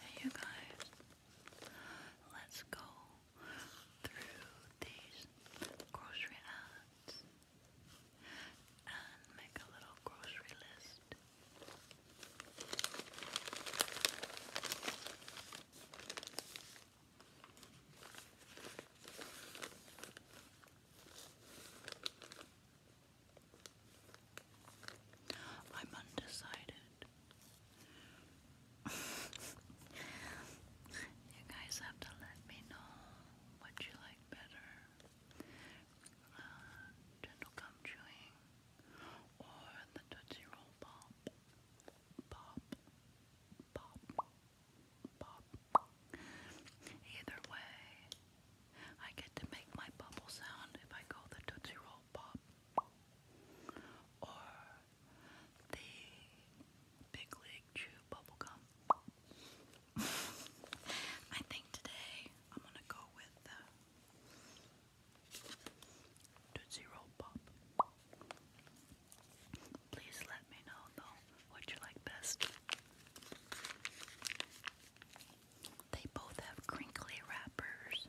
Hey, you guys, let's go through these grocery ads and make a little grocery list. I'm undecided. you guys have to let me know what you like better uh, gentle gum chewing, or the Tootsie Roll Pop, Pop, Pop, Pop. Either way, I get to make my bubble sound if I go the Tootsie Roll Pop, or the Big League Chew Bubblegum. I think today I'm gonna go with the Roll Pop. Please let me know though what you like best. They both have crinkly wrappers.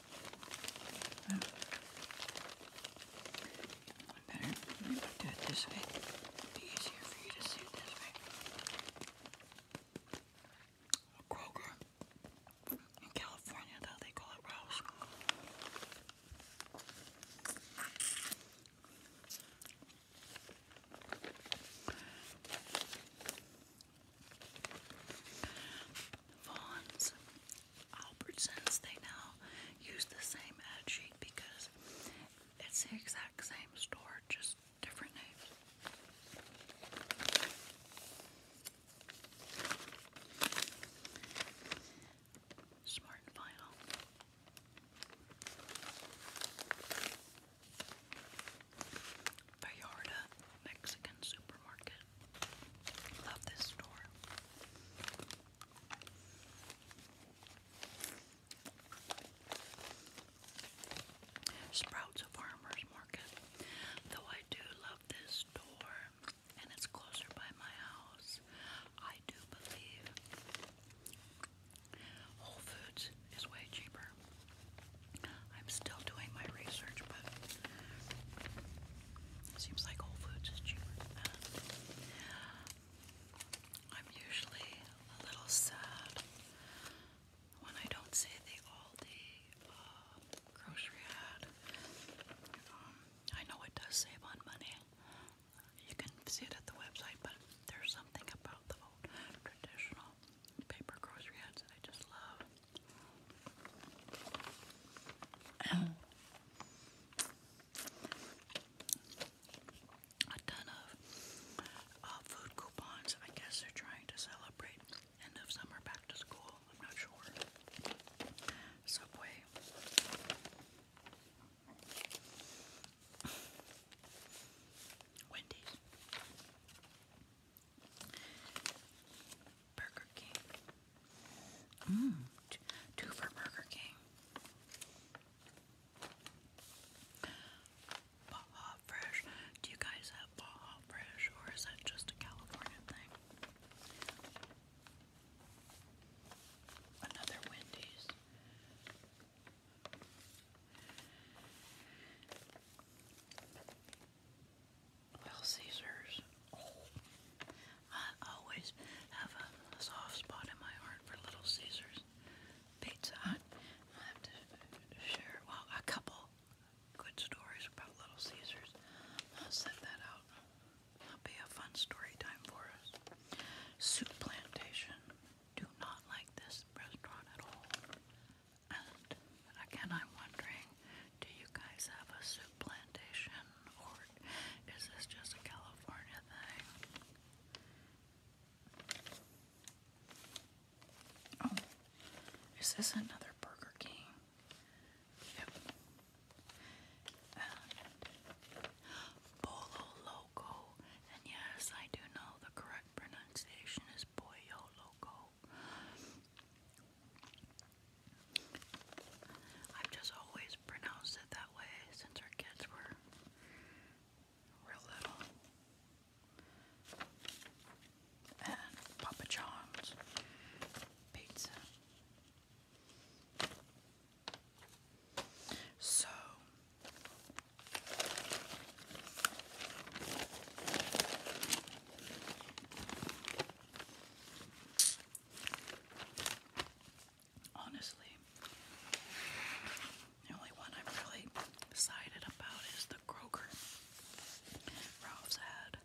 I better maybe do it this it this way. Kroger. In California, though, they call it Rouse. Vaughn's, Albertsons, they now use the same ad sheet because it's the exact same store, just different names. Smart and Final. Vallarta Mexican Supermarket. Love this store. Sprouts a farmer's market. Though I do love this store and it's closer by my house, I do believe Whole Foods is way cheaper. I'm still doing my research, but Seems like Whole Foods is cheaper than that. I'm usually a little sad when I don't see the Aldi uh, grocery ad. Um, I know it does save on money. You can see it at the website, but there's something about the old traditional paper grocery ads that I just love and a of uh, food coupons. I guess they're trying to celebrate end of summer back to school. I'm not sure. Subway. Wendy's. Burger King. Mm, two for Burger King. Baja Fresh. Do you guys have Baja Fresh or is that just a California thing? Another Wendy's. Little Caesars. Oh. I always have a soft spot in my heart for Little Caesars. Pizza I have to share, well, a couple good stories about Little Caesars. I'll send that out. That'll be a fun story time for us. Soup Plantation. Do not like this restaurant at all. And again, I'm wondering do you guys have a soup plantation, or is this just a California thing? Oh, is this another Burger King? Yep. Bolo Loco. And yes, I do know the correct pronunciation is Pollo Loco. I've just always pronounced it that way since our kids were real little. And Papa John's pizza. So Honestly, the only one I'm really excited about is the Kroger Ralph's ad.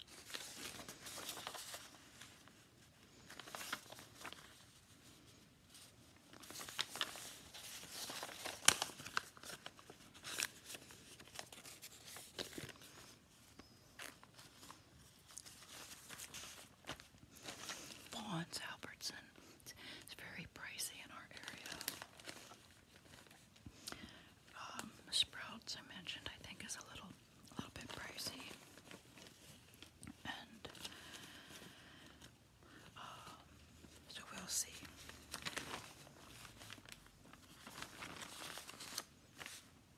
Lawrence Albertson. It's, very pricey in our area. Um, sprouts, I mentioned, I think is a little, a little bit pricey. And um, so we'll see.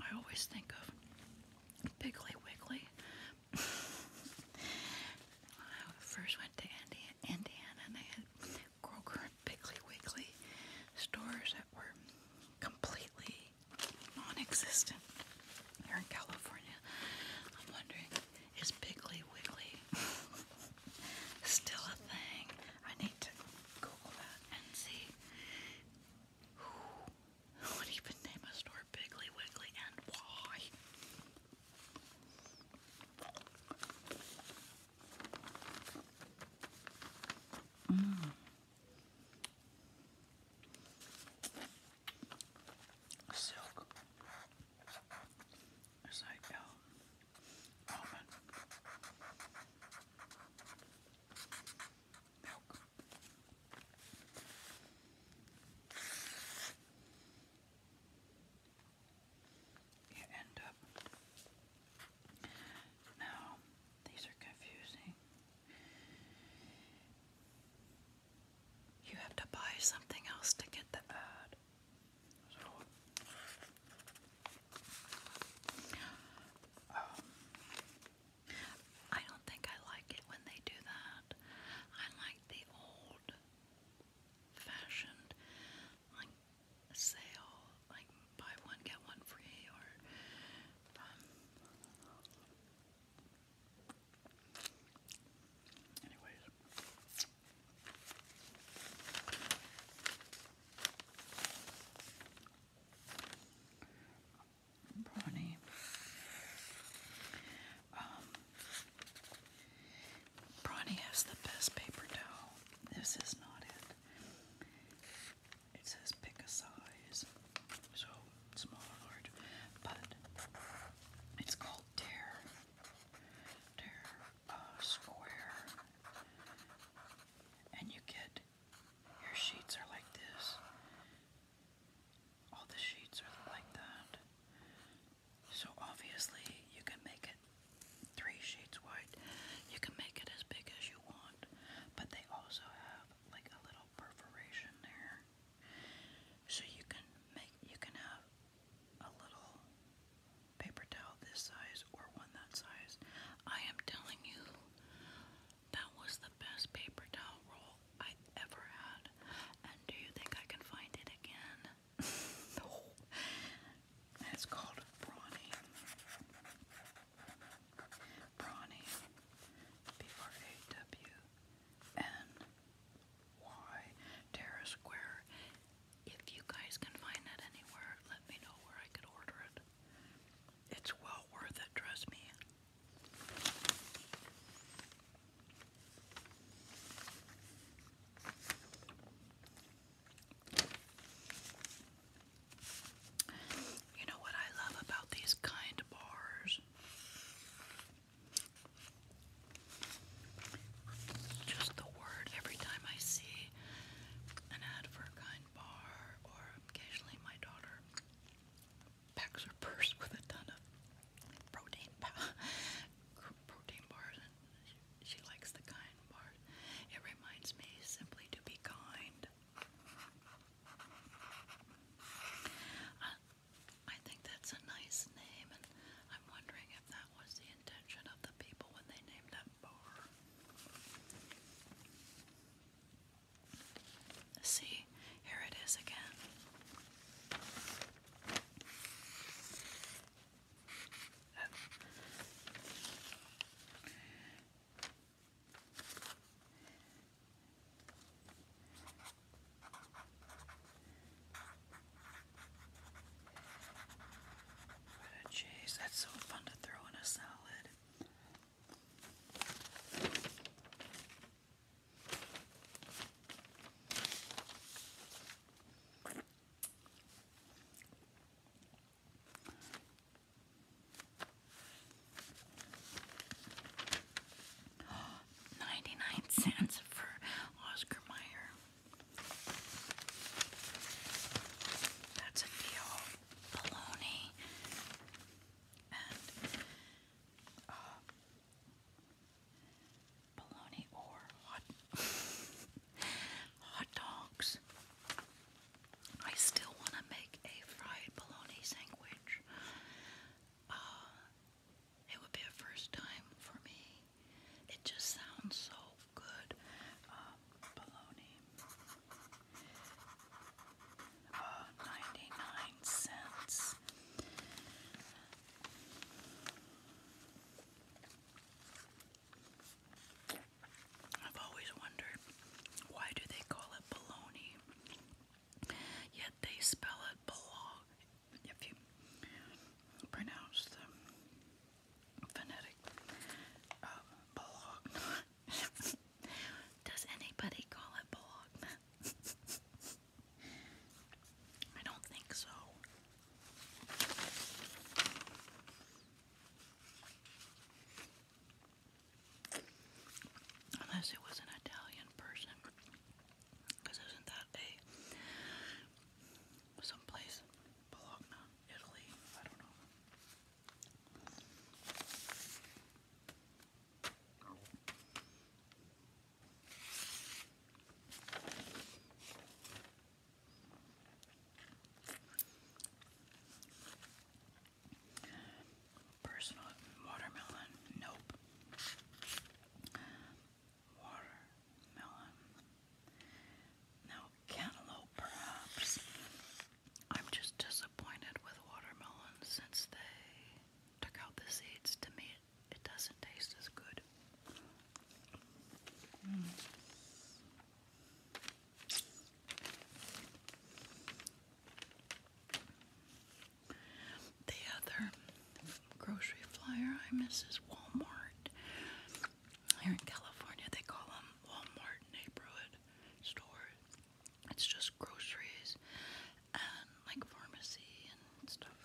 I always think of Piggly Wiggly. I first went to Indiana, and they had Kroger and Piggly stores that were completely non-existent here in California. I'm wondering, is Piggly Wiggly still a thing? I need to Google that and see who would even name a store Piggly Wiggly and why. Mm. Silk. It's like, oh, almond, You end up. Now, these are confusing. You have to buy something else to get the ad. Um, I don't think I like it when they do that. I like the old fashioned, like sale, like buy one, get one free, or. Um, anyways. Brawny. Um, has the best paper towel. This is not it. It says pick a size, so small or large, but it's called Tear. Tear uh, Square. And you get your sheets are like this. All the sheets are like that. So obviously you can make it three sheets wide. You can make it as big as you want, but they also have like a little perforation there. So you can make you can have a little paper towel this size size or one that size. I am telling you, that was the best paper towel roll I ever had. And do you think I can find it again? no. It's called Brawny. Brawny. B R A W N Y Terra Square. If you guys can find that anywhere, let me know where I could order it. It's well worth it, trust me. You know what I love about these kind bars? Just the word every time I see an ad for a kind bar, or occasionally my daughter packs her purse with a ton of protein protein bars, and she likes the kind bars. It reminds me simply to be kind. I think that's a nice name, and I'm wondering if that was the intention of the people when they named that bar. See, here it is again. Oh. cheese. That's so fun to throw in a salad. 99 cents for Oscar Mayer. That's a deal bologna and uh, bologna or hot hot dogs. I still want to make a fried bologna sandwich. Uh, it would be a first time for me. It just sounds so good um, uh, 99 cents. I've always wondered why do they call it baloney, Yet they spell it belong if you pronounce the phonetic uh, Does anybody call it Bologna? I don't think so. Unless it was an Italian person. Because isn't that a someplace Bologna, Italy? I don't know. Personal watermelon, nope. Watermelon, no cantaloupe, perhaps. I'm just disappointed with watermelons since they took out the seeds. To me, it, doesn't taste as good. Hmm. The other grocery flyer I miss is Walmart. Here in California, they call them Walmart neighborhood store. It's just groceries and like pharmacy and stuff.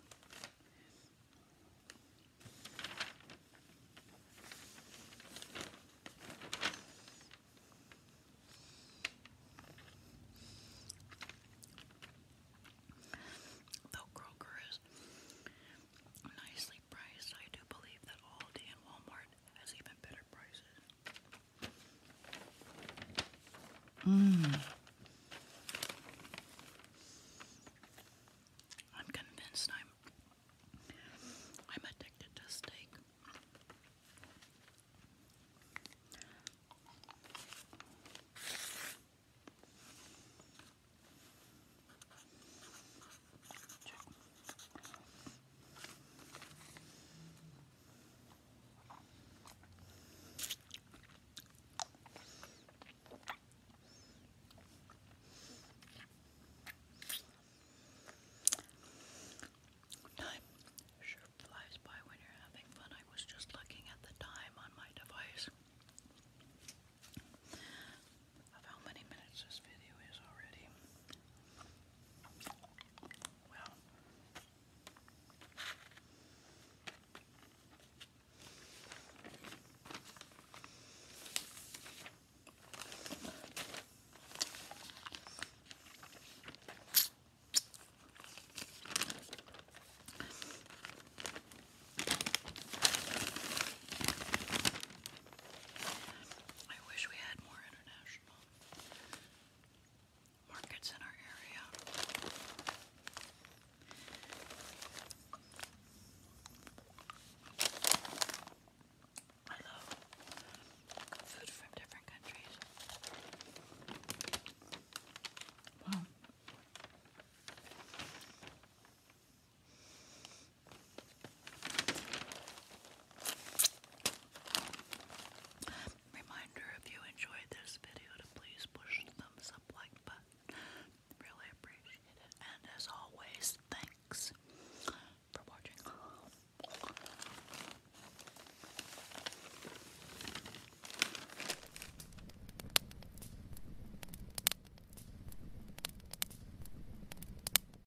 Though Kroger is nicely priced, I do believe that Aldi and Walmart Walmart has even better prices. i mmm. I'm convinced I'm I'm addicted to steak. Check. Time sure flies by when you're having fun. I was just looking at the time on my device of how many minutes this video is already. Well, I wish we had more international markets in our area. I love food from different countries. Reminder if you enjoyed this video to please push the thumbs up like button. Really appreciate it. And as always, thanks for watching.